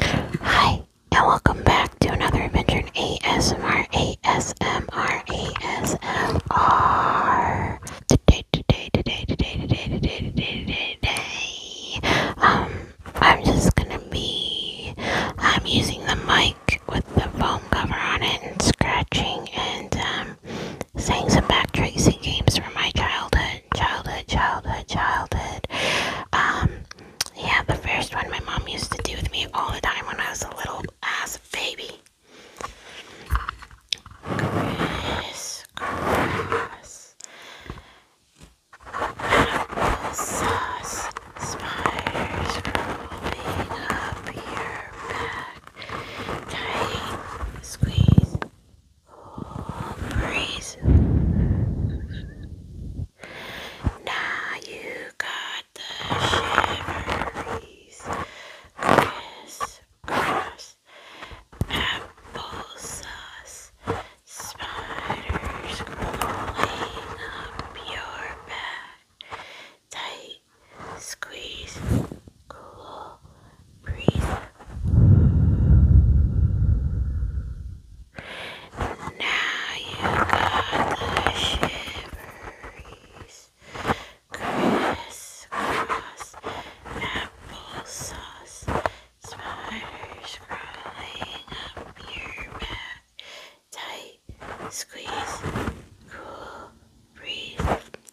Hi, and welcome back to another adventure in ASMR, ASMR, ASMR. Today, today, today, today, today, today, today, today, Um, I'm just gonna be, I'm using the mic with the foam cover on it and scratching and, um, saying some backtracing games from my childhood childhood, childhood, childhood, childhood. Um, yeah, the first one my mom used to do with me all the time when I was a little ass baby. Criss cross apple sauce spiders crawling up your back. Tight squeeze Oh, breathe. Now you got the shiveries. Crisp, crisp, apple sauce. Spiders crawling up your back. Tight squeeze, cool breathe. Now you got the shivers, crisscross, applesauce, spiders crawling up your back. Tight squeeze, cool, breathe.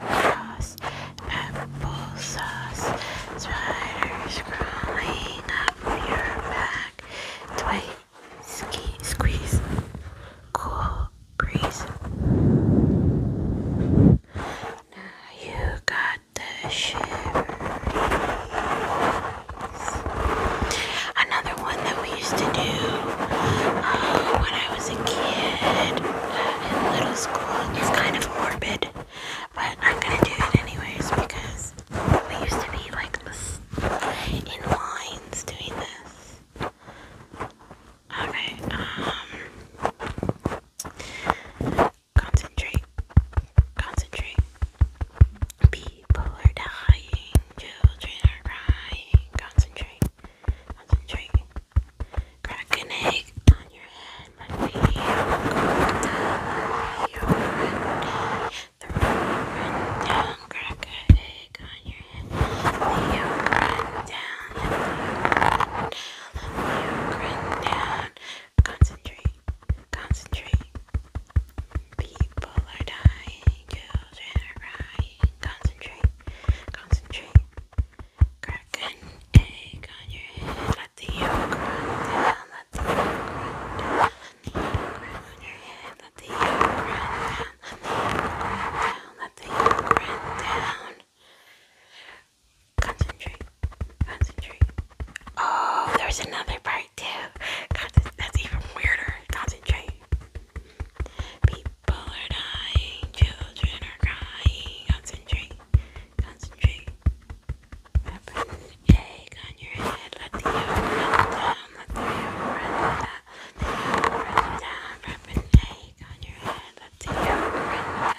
sauce, apple sauce, spiders crawling up your back, twig, ski, squeeze, cool breeze. Now you got the shivers. Another one that we used to do uh, when I was a kid. His little school is kind of morbid, but I'm gonna do it anyways because we used to be like this in lines doing this. Okay, um, concentrate, concentrate. People are dying, children are crying. Concentrate. Concentrate. Crack an egg on your head, my baby. You're running the run down. Crack an egg on your head, you run down. You run down. Concentrate. Concentrate. People are dying. Children are crying. Concentrate. Concentrate cracking egg on your head. Let the yolk run down. Let the yolk run down. Let the yolk run down. Let the yolk run down. Let the yolk run down. Concentrate. Concentrate. Oh, there's another part too. That's even weirder. Concentrate. People are dying, children are crying. Concentrate, concentrate. Wrap an egg on your head. Let the yolk run down. Let the yolk run down. Let the yolk run down. Wrap an egg on your head. Let the yolk run down.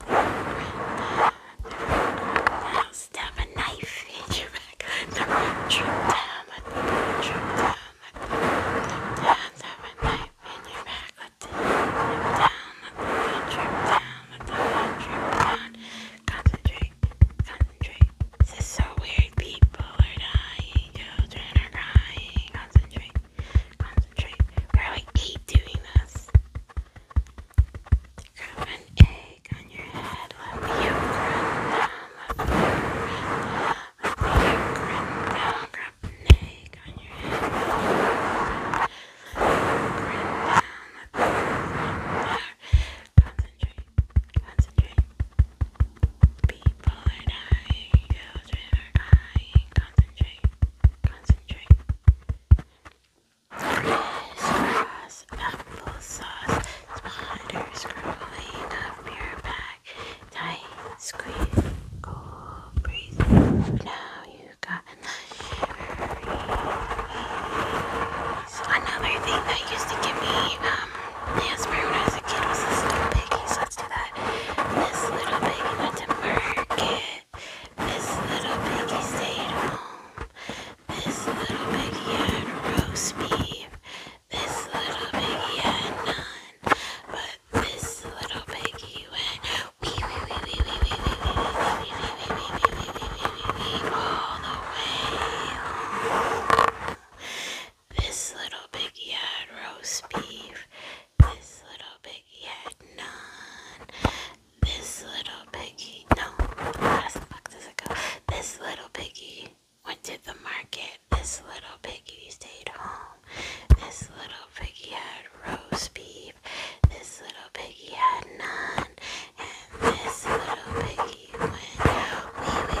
Let the yolk run down. Now stab a knife in your back. The root drip down. Let the root drip down look down, the heat down, the heat down, concentrate, concentrate, this is so weird, people are dying, children are crying, concentrate, concentrate, where we keep doing this, grab an egg on your head, let the yolk down, the yolk Grip, down, grab the neck on your head. Grip down, let the there. Concentrate, concentrate. People are dying, children are dying. Concentrate, concentrate. Applesauce, applesauce, spiders crawling up your back tight, squeeze, cold breeze. Now you got a Another thing that used to give me um asthma when a kid was this little piggy. let's do that. This little piggy went to market. This little piggy stayed home. This little piggy had roast beef. This little piggy had none, but this little piggy went wee wee wee wee wee wee wee wee wee wee wee wee wee all the way. This little piggy had roast beef. This little piggy had none. This little piggy, no, how the fuck does it go? This little piggy went to the market. This little piggy stayed home. This little piggy had roast beef. This little piggy had none. And this little piggy went wee wee wee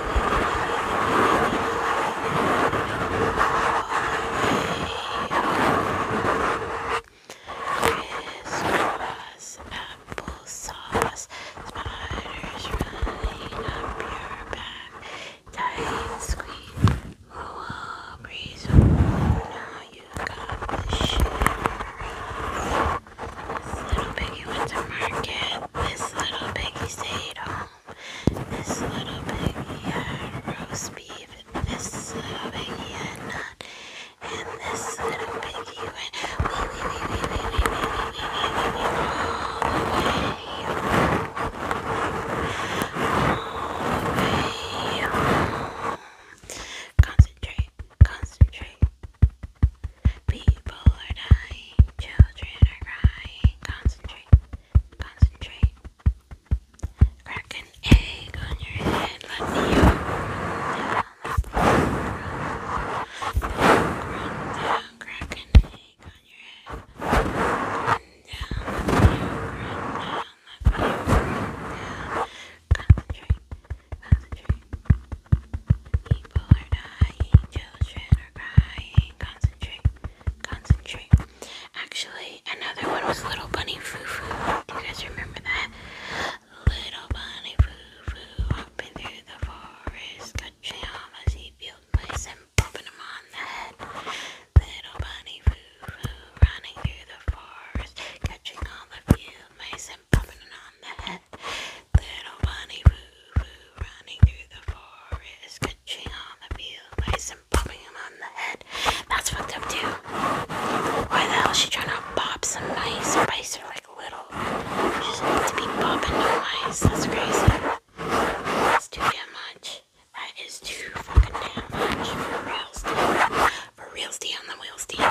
wee wee wee wee wee wee wee wee wee wee Sauce Spiders running up your back. Tight squeeze. Oh, breeze. now you got the shivers. This little piggy went to market. This little piggy stayed home. This little piggy had roast beef. This little piggy had none and this little piggy went wee wee wee wee wee wee wee wee wee all the way Concentrate, concentrate. People are dying, children are crying. Concentrate, concentrate. Crack an egg on your head, let me out down, crack an egg on your head. Grind down, let me out, down, Concentrate, concentrate. People are dying, children are crying, concentrate, concentrate. Actually, another one was Little Bunny Foo Foo. Do you guys remember that? Little bunny foo foo hopping through the forest, catching all my seatbelt mice and popping them on the head. Little bunny foo foo running through the forest, catching all the field mice and popping it on the head. Little bunny foo foo running through the forest, catching all the field mice and popping them on the head. That's what they do. Why the hell is she trying to pop some nice spice or like little? She needs to be popping no ice. That's crazy. That's too damn much. That is too fucking damn much. For real steel. For real steel the wheel steel.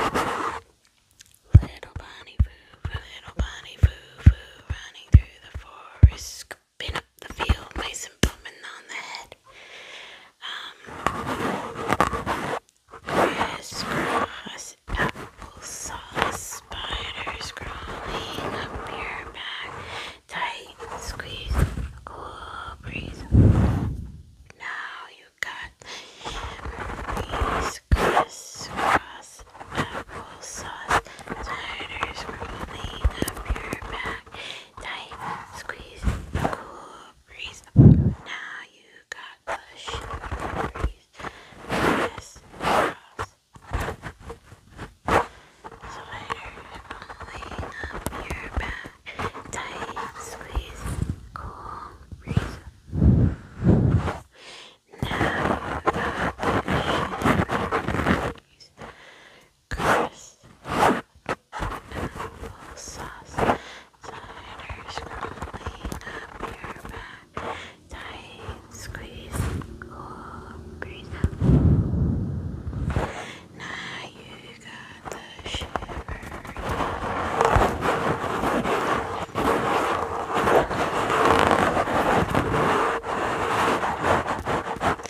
Little bunny foo, little bunny foo foo running through the forest, scooping up the field, nice and on the head. Um Crisscross applesauce, spiders crawling up your back, tight squeeze, cool breeze. Now you got breeze, crisscross applesauce, spiders crawling up your back, tight squeeze, cool breeze. Now you got the breeze. Yes, girls. Sweater pulling up your back. Tight squeeze. Cool breeze. Now the sugar breeze crisp apple sauce, cider scrolling up your back, tight squeeze, cool breeze. Now you got the shiver.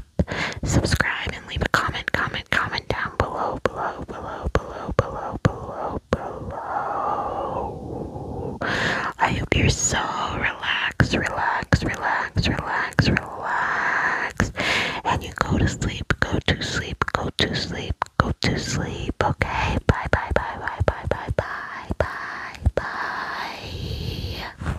up, subscribe, and leave a comment, comment, comment down below, below, below, below, below, below, below. I hope you're so relaxed, relaxed, relaxed, relaxed, relaxed. And you go to sleep, go to sleep, go to sleep, go to sleep, okay? Bye, bye, bye, bye, bye, bye, bye, bye, bye.